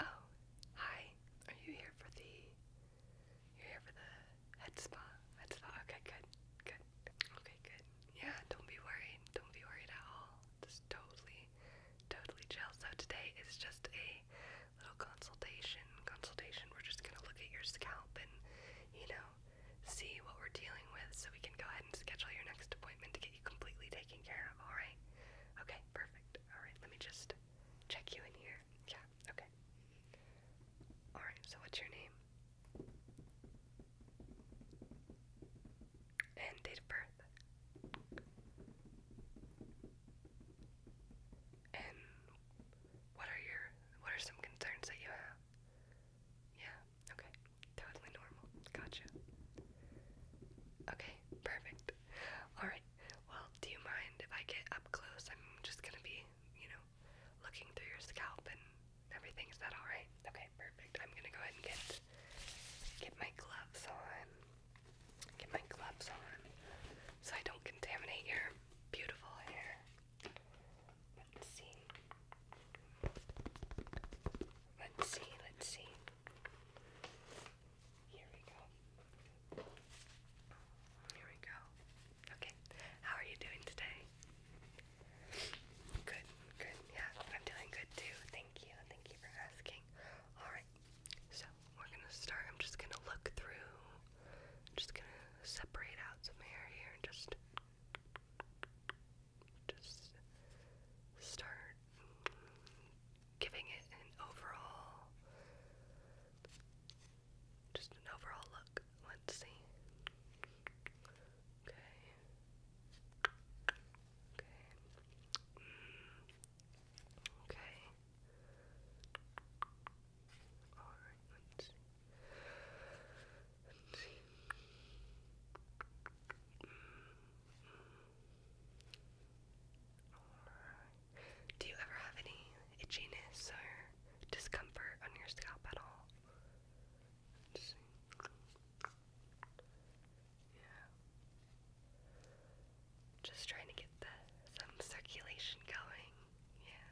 Oh, hi. Are you here for the you're here for the head spa? Head spa. Okay, good. Good. Okay, good. Yeah, don't be worried. Don't be worried at all. Just totally, totally chill. So today is just a little consultation. Consultation. We're just gonna look at your scalp and, you know, see what we're dealing with so we can go ahead and schedule your next appointment to get completely taken care of, alright? Okay, perfect. Alright, let me just check you in here. Yeah, okay. Alright, so what's your name? And date of birth. And what are your what are some concerns that you have? Yeah. Okay. Totally normal. Gotcha. Okay, perfect. Alright. Well, do you mind if I get up close? I'm just gonna be, you know, looking through your scalp and everything. Is that alright? Okay, perfect. I'm gonna go ahead and get get my gloves on. Get my gloves on. So I don't contaminate your beautiful hair. Let's see. Let's see, let's see. Here we go. Here we go. Okay, how are you doing today? Good, good. Yeah, I'm doing good too. Thank you. Thank you for asking. Alright, so we're gonna start. I'm just gonna look through. just gonna separate out some hair here just just start giving it an overall just an overall look. Let's see. Okay. Okay. Mm. Okay. All right. Let's see. Do you ever have any itchiness or discomfort on your scalp at all? Yeah. Just trying to get the some circulation going. Yeah.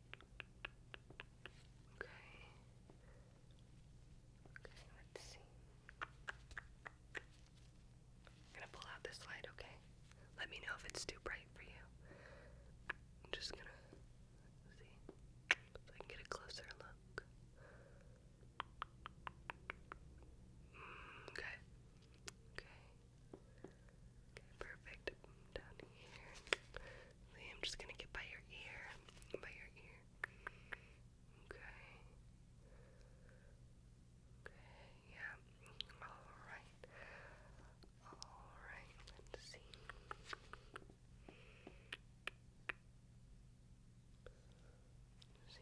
Okay. Okay, let's see. I'm gonna pull out this light, okay? Let me know if it's too bright for you. I'm just gonna see so I can get a closer look. Mm, okay. Okay. Okay, perfect. Down here. I'm just gonna get by your ear, by your ear. Okay. Okay. Yeah. All right. All right. Let's see. Let's see.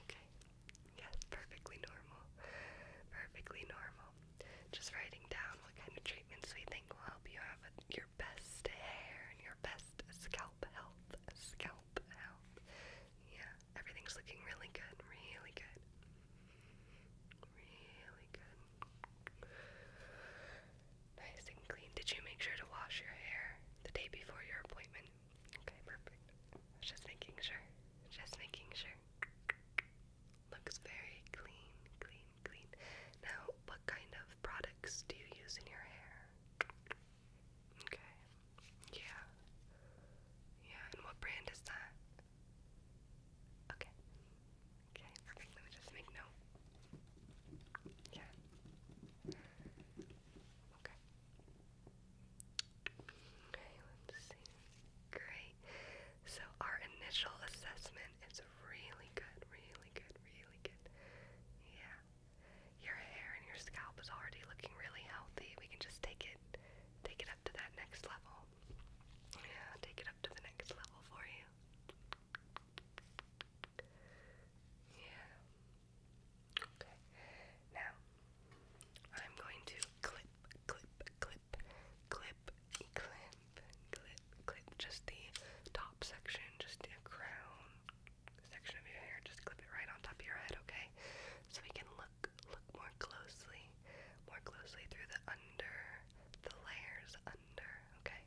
Okay. Yes, perfectly normal. Perfectly normal. Just writing down what kind of treatments we think will help you have your best hair and your best scalp health. Scalp health. Yeah, everything's looking really good. Really good. Really good. Nice and clean. Did you make sure to wash your hair the day before your appointment? Okay, perfect. Just making sure. Just making sure. Looks very clean, clean, clean. Now, what kind of products do you use in your hair? Okay. Yeah. Yeah, and what brand is that? Okay. Okay, perfect. Let me just make note. Yeah. Okay. let's see. Great. So our initial assessment is really good, really good, really good. Yeah. Your hair and your scalp is already looking really healthy. We can just take it take it up to that next level. Yeah, take it up to the next level for you. Yeah. Okay. Now, I'm going to clip, clip, clip, clip, clip, clip, clip just the top section, just the crown section of your hair. Just clip it right on top of your head, okay? So we can look, look more closely, more closely through the under, the layers under, okay?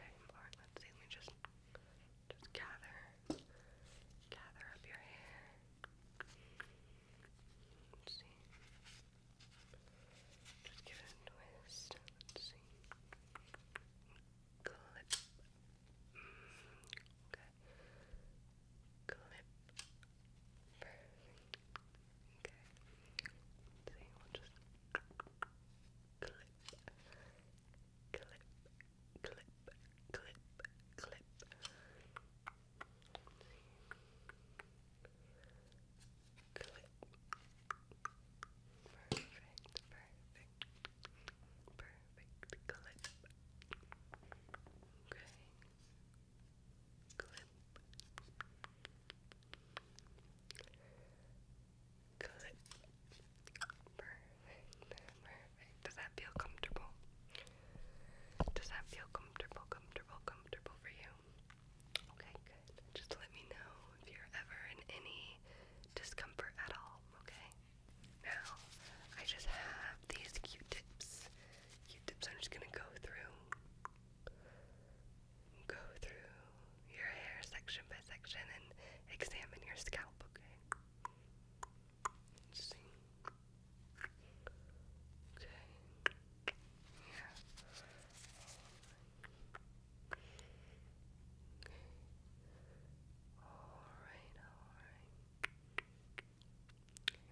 Okay, let's see. Let me just just gather, gather up your hair. see. Just give it a twist. see. Clip. Mm, okay. Clip. Okay. see. We'll just clip clip, clip, clip, clip. Clip. Perfect, perfect, perfect. Clip. Okay. Clip. Good. Perfect. Perfect. Does that feel comfortable? Does that feel comfortable, comfortable, comfortable for you? Okay, good. Just let me know if you're ever in any discomfort at all, okay? Now, I just have these Q-tips. Q-tips I'm just gonna go through go through your hair section by section and examine your scalp, okay? Okay. Yeah. Okay. Alright, alright.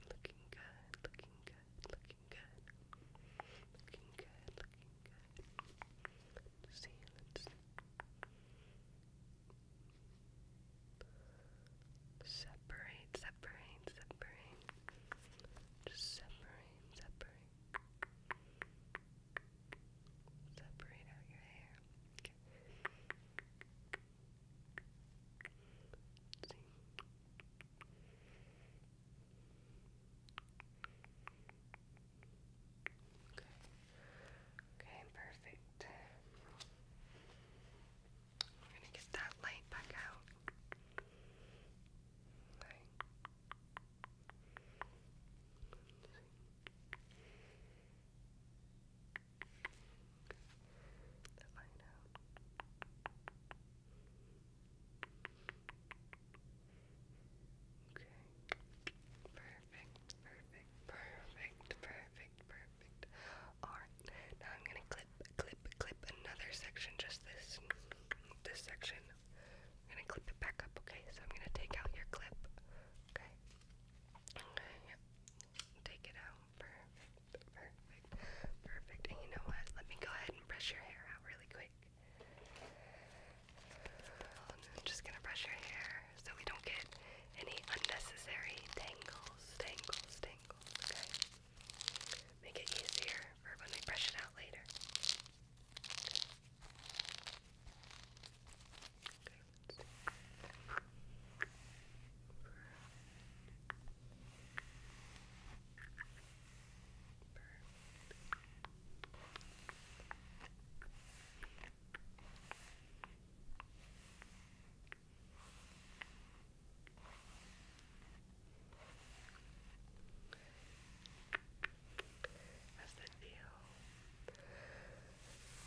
Looking good, looking good, looking good. Looking good, looking good. Let's Separate, separate, separate. separate, separate. Separate out your hair. Okay. Okay, perfect. We're gonna get that light back out. Right. That light out. Okay. Perfect, perfect, perfect, perfect, perfect. Alright, now I'm gonna clip, clip, clip another section, just this this section. I'm gonna clip it back up, okay? So I'm gonna take out your clip. Okay. Okay, yep. Take it out. Perfect. Perfect. Perfect. And you know what? Let me go ahead and brush your hair out really quick. I'm just gonna brush your hair so we don't get any unnecessary tangles, tangles, tangles, okay? Make it easier for when we brush it out later. How's that feel?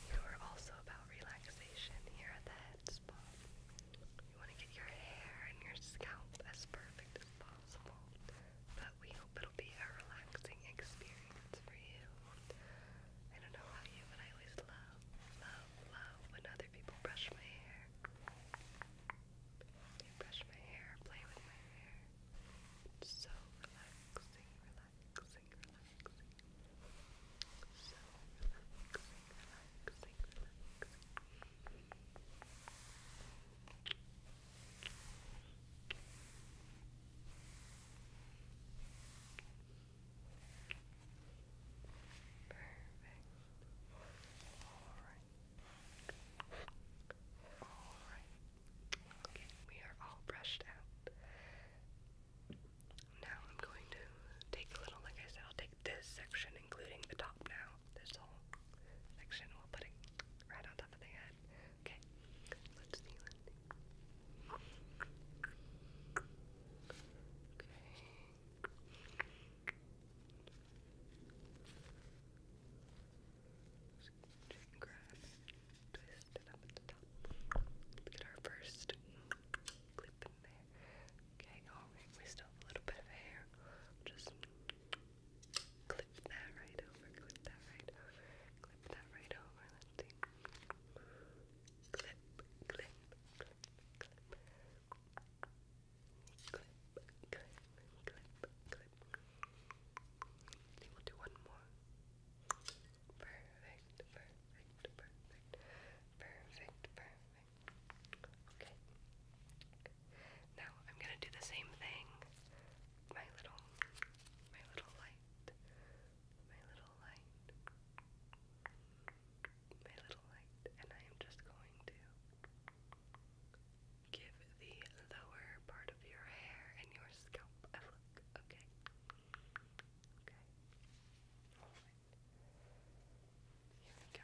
You are also about relaxation here at the head spa. You want to get your hair and your scalp as perfect as possible but we hope it'll be a relaxing experience for you. I don't know about you, but I always love, love, love when other people brush my hair. They brush my hair, play with my hair. so relaxing, relaxing, relaxing, relaxing, relaxing we are all brushed out. Now I'm going to take a little, like I said, I'll take this section, including the top now, this whole section. We'll put it right on top of the head. Okay, let's kneel Okay. grab twist it up at the top. Get our first clip in there. Okay, alright, we still have a little bit of hair. Just clip that right over, clip that right over, clip that right over. Let's Clip, clip, clip, clip. Clip, clip, clip, clip. We'll do one more. Perfect, perfect, perfect, perfect, perfect. Now I'm gonna do the same thing. My little, my little light, my little light, my little light, and I am just going to give the lower part of your hair and your scalp Okay. Okay. All right. Here we go.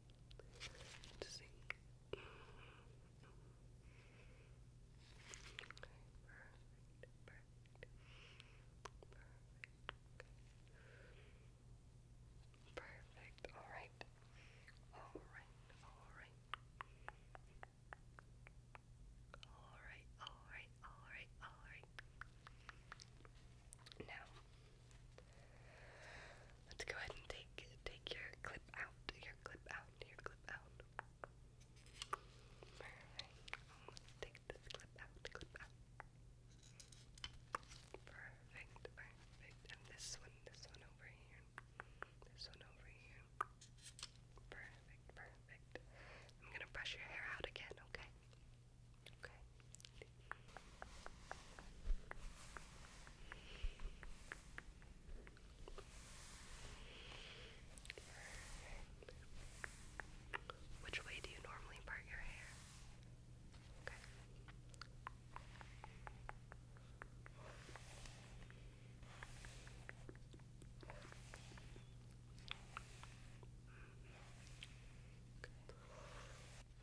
Let's perfect, perfect, All right. All right. All right. All right. All right. All right. All right. Now. Let's go ahead and take take your clip out, your clip out, your clip out. Perfect. Take this clip out, clip out. Perfect, perfect. And this one, this one over here. This one over here. Perfect, perfect. I'm gonna brush your hair out again, okay? Okay. Which way do you normally part your hair?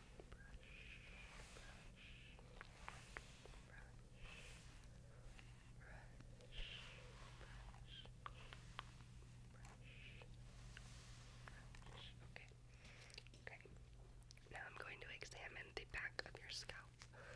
brush. Okay. Now I'm going to examine the back of your scalp. Okay.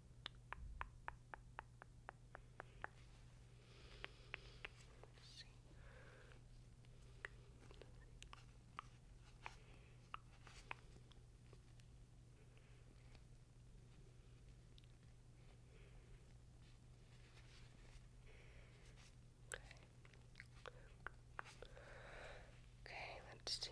see. Okay. Okay, let's see. Let's see.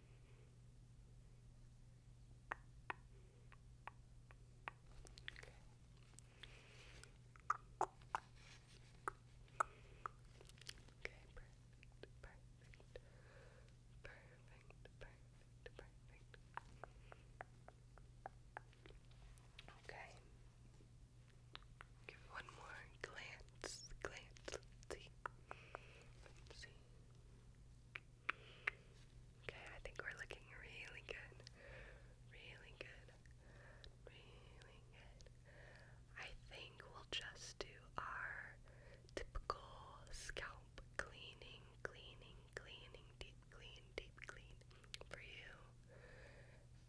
perfect, perfect, perfect, perfect. Okay. Give one more glance, glance. Let's see. Let's see. Okay, I think we're looking really good. Really good. Really good. I think we'll just do our typical scalp cleaning, cleaning, cleaning, deep clean, deep clean for you.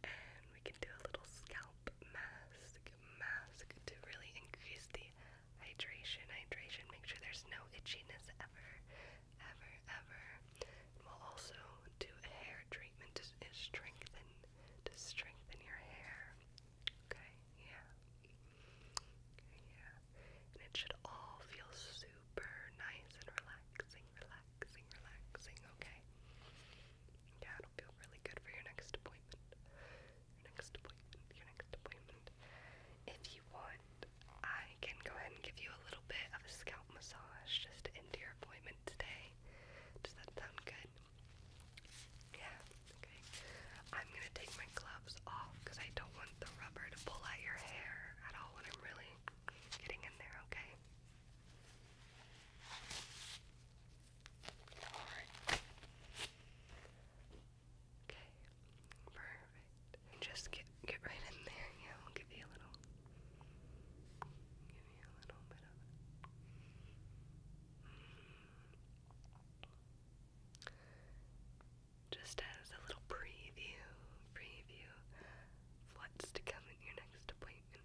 And we can do a little scalp mask, mask to really increase the Hydration, hydration. Make sure there's no itchiness ever, ever, ever. We'll also do a hair treatment to strengthen, to strengthen your hair. Okay, yeah, yeah. And it should all feel super nice and relaxing, relaxing, relaxing. Okay. Yeah, it'll feel really good for your next appointment your next appointment, your next appointment. If you want, I can go ahead and give you a little bit of a scalp massage just to your appointment today. Does that sound good? Yeah, okay. I'm gonna take my gloves off because I don't want the rubber to pull at your hair at all when I'm really getting in there, okay? Okay. Perfect. Just get get right in there. Yeah, give you a little give you a little bit of Just as a little preview, preview what's to come in your next appointment.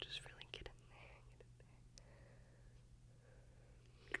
Just really get in there, get in there. Good.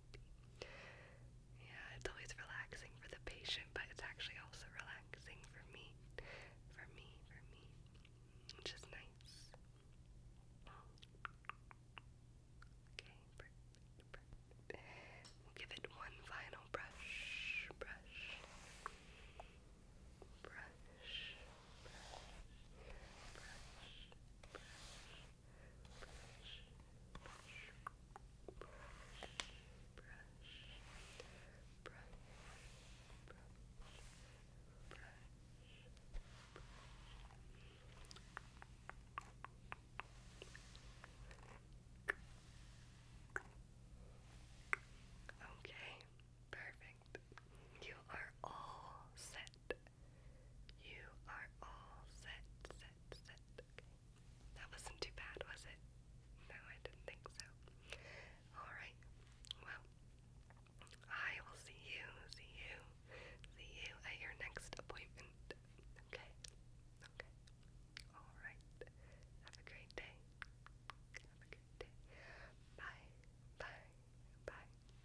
sleepy. Yeah, it's always relaxing for the patient, but it's actually also relaxing for me. For me, for me. Which is nice. Okay, perfect, perfect. We'll give it one final brush, brush, brush, brush, brush, brush brush. Okay, perfect. You are all set. You are all set, set, set. Okay. That wasn't too bad, was it? No, I didn't think so. Alright. Well, I will see you, see you, see you at your next appointment. Okay. Okay. Alright. Have a great day. Have a great day. Bye. Bye. Bye.